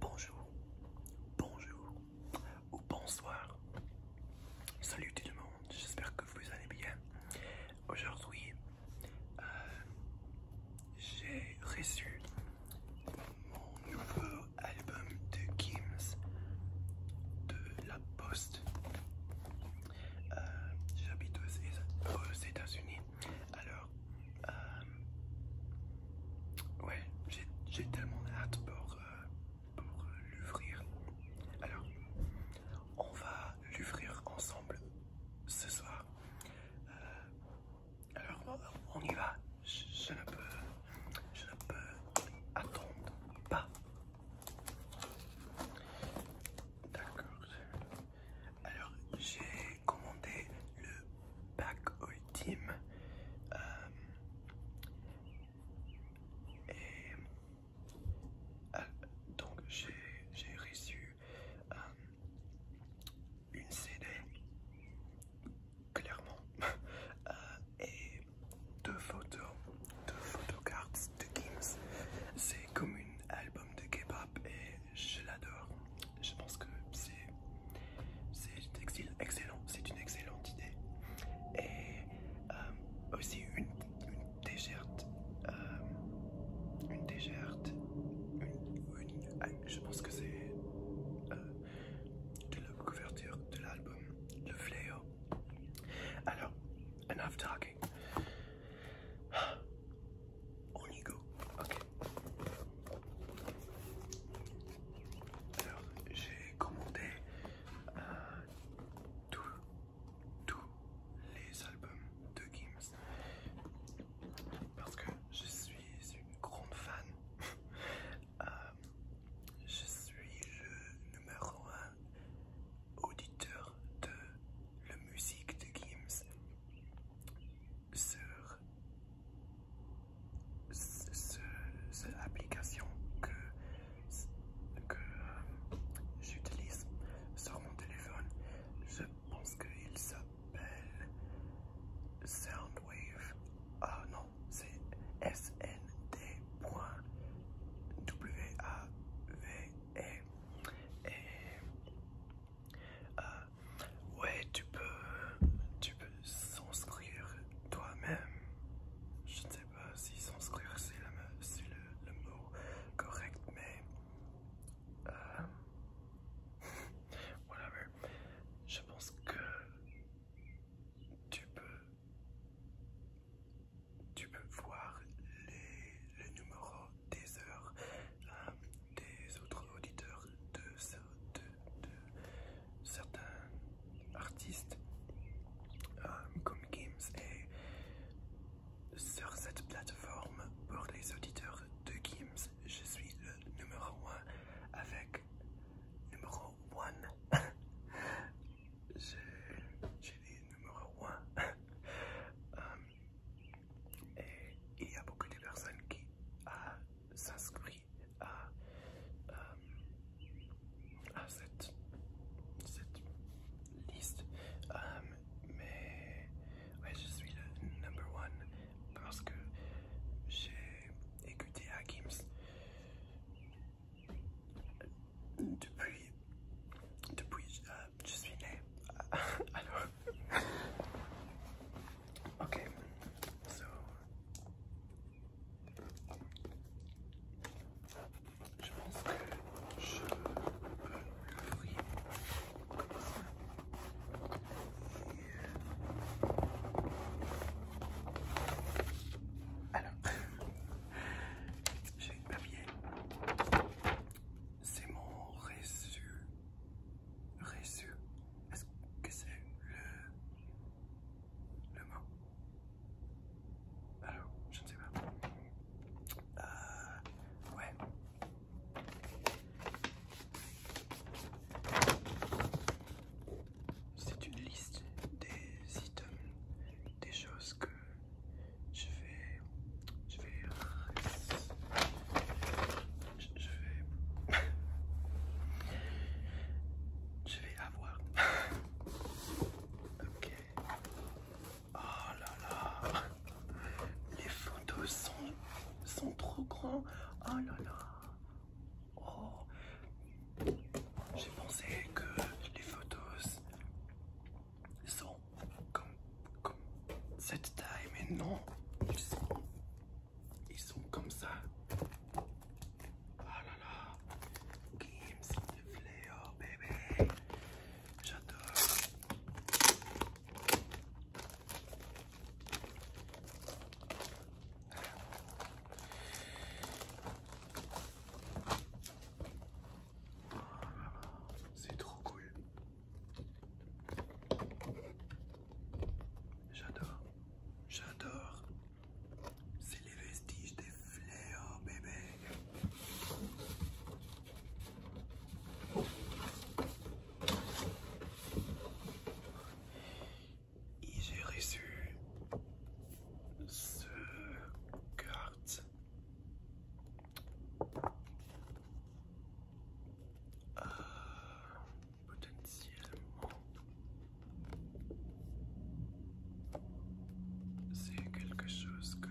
Bonjour, bonjour ou bonsoir. Salut tout le monde, j'espère que vous allez bien. Aujourd'hui, euh, j'ai reçu mon nouveau album de Gims de la Poste. Euh, j'habite aux États-Unis, alors euh, ouais, j'ai tellement hâte euh, pour, l'ouvrir. Alors, on va l'ouvrir ensemble ce soir. Euh, alors, on y va. peux, je ne peux attendre pas. D'accord. Alors j'ai commandé le pack ultime euh, et ah, donc j'ai reçu euh, une CD clairement euh, et deux photos, deux photocards de Gims. C'est comme un album de K-pop et je l'adore. Je pense que c'est excellent, c'est une excellente idée. Et euh, aussi une, une euh, une une, ah, je pense que c'est euh, de la couverture de l'album, le fléau. Alors, enough talking on y go. Ok. Alors, j'ai commandé euh, tous les albums de Gims parce que je suis une grande fan. Euh, je suis le numéro un auditeur de la musique de Gims sur, cette application que, euh, j'utilise sur mon téléphone. Je pense qu'il s'appelle Soundwave. Ah non, c'est snd.wave. Euh, ouais, tu peux, tu peux s'inscrire toi-même. Je ne sais pas si s'inscrire c'est le, mot correct, mais euh, whatever. Je pense que tu peux, tu peux voir les, le numéro des heures des autres auditeurs de, certains artistes euh, comme Games et sur cette plateforme pour les auditeurs de Games je suis le numéro 1 avec numéro 1 j'ai les numéro 1 Et il y a beaucoup de personnes qui ah, s'inscrivent à, euh, à cette, liste. Euh, mais je suis le number one parce que j'ai écouté Hakims depuis, depuis euh, je suis né. Alors, Ok, donc, je pense que je peux Alors, j'ai une papier c'est mon résu. Reçu. Est-ce que c'est le. le mot Alors, je ne sais pas. Euh. Ouais. C'est une liste des items, des choses que je fais. Je vais. Je, vais. je vais avoir. ok. Oh là là. Les photos sont, sont trop grands. Oh là là. Oh. J'ai pensé que les photos sont comme comme cette taille, mais non, ils sont, comme ça. oh là là, Gims, bébé, j'adore. C'est trop cool. J'adore, j'adore. C'est les vestiges des fléaux, bébé. j'ai reçu ce carte euh, potentiellement c'est quelque chose que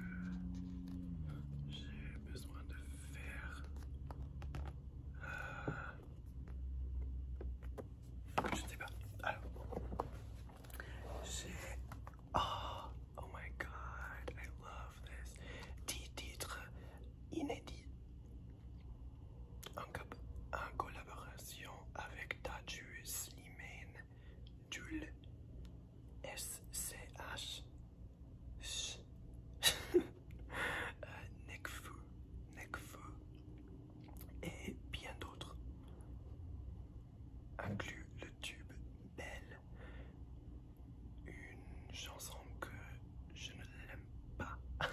j'ai besoin de faire euh, Je ne sais pas j'ai oh, oh, my god I love this inédit en, collaboration avec Tajus, Limen Dul SCH Nekfu, Nekfu, et bien d'autres inclut le tube Belle une chanson que je ne l'aime pas.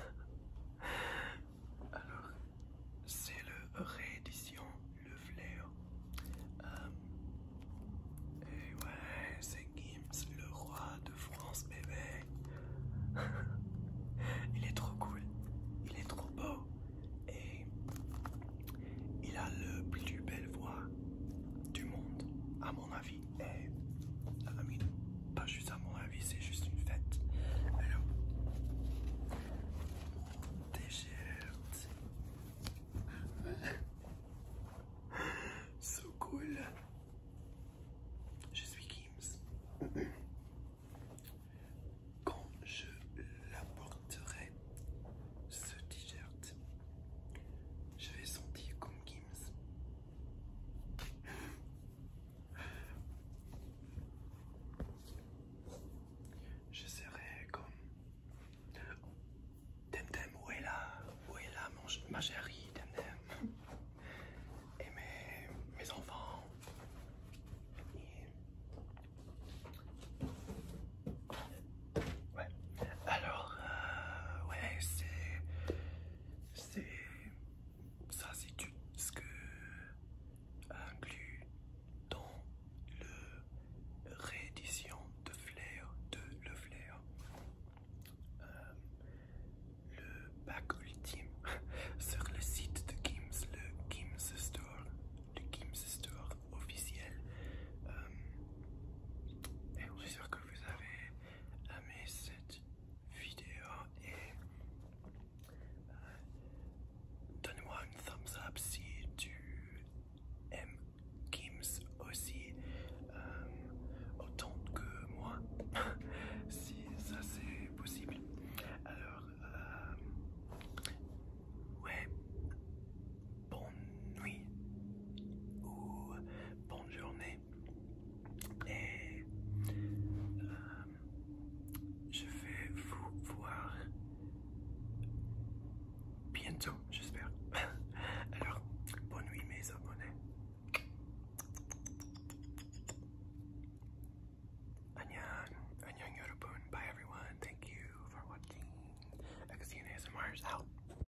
Alors, c'est le réédition Le Flair. Euh, et ouais, c'est Gims, le roi de France, bébé. il est trop cool, il est trop beau et il a le plus belle voix du monde, à mon avis. Et eh, pas juste à mon avis, c'est juste une fête. Alors, So cool. Je suis Kims. Quand je l'apporterai, ce t-shirt, je vais sentir comme Kim je serai comme... Temtem, où est là Où est là ma chérie Temtem Et mes, enfants Ouais. Alors, euh, ouais, c'est. C'est. Ça, c'est tout ce que. inclus dans le. réédition de Flair, de Le Flair. Euh, le pack ultime sur le site de Gims, le Gims Store, le Gims Store officiel. Euh, et je suis sûr que vous avez Aimez cette vidéo et euh, donne-moi une thumbs up si tu aimes Gims aussi euh, autant que moi si ça c'est possible alors euh, ouais bonne nuit ou bonne journée. Et euh, je vais vous voir bientôt, j'espère. Alors, bonne nuit mes abonnés. Annyeong, annyeong yorobun. Bye everyone. Thank you for watching. ASMR ASMR's out.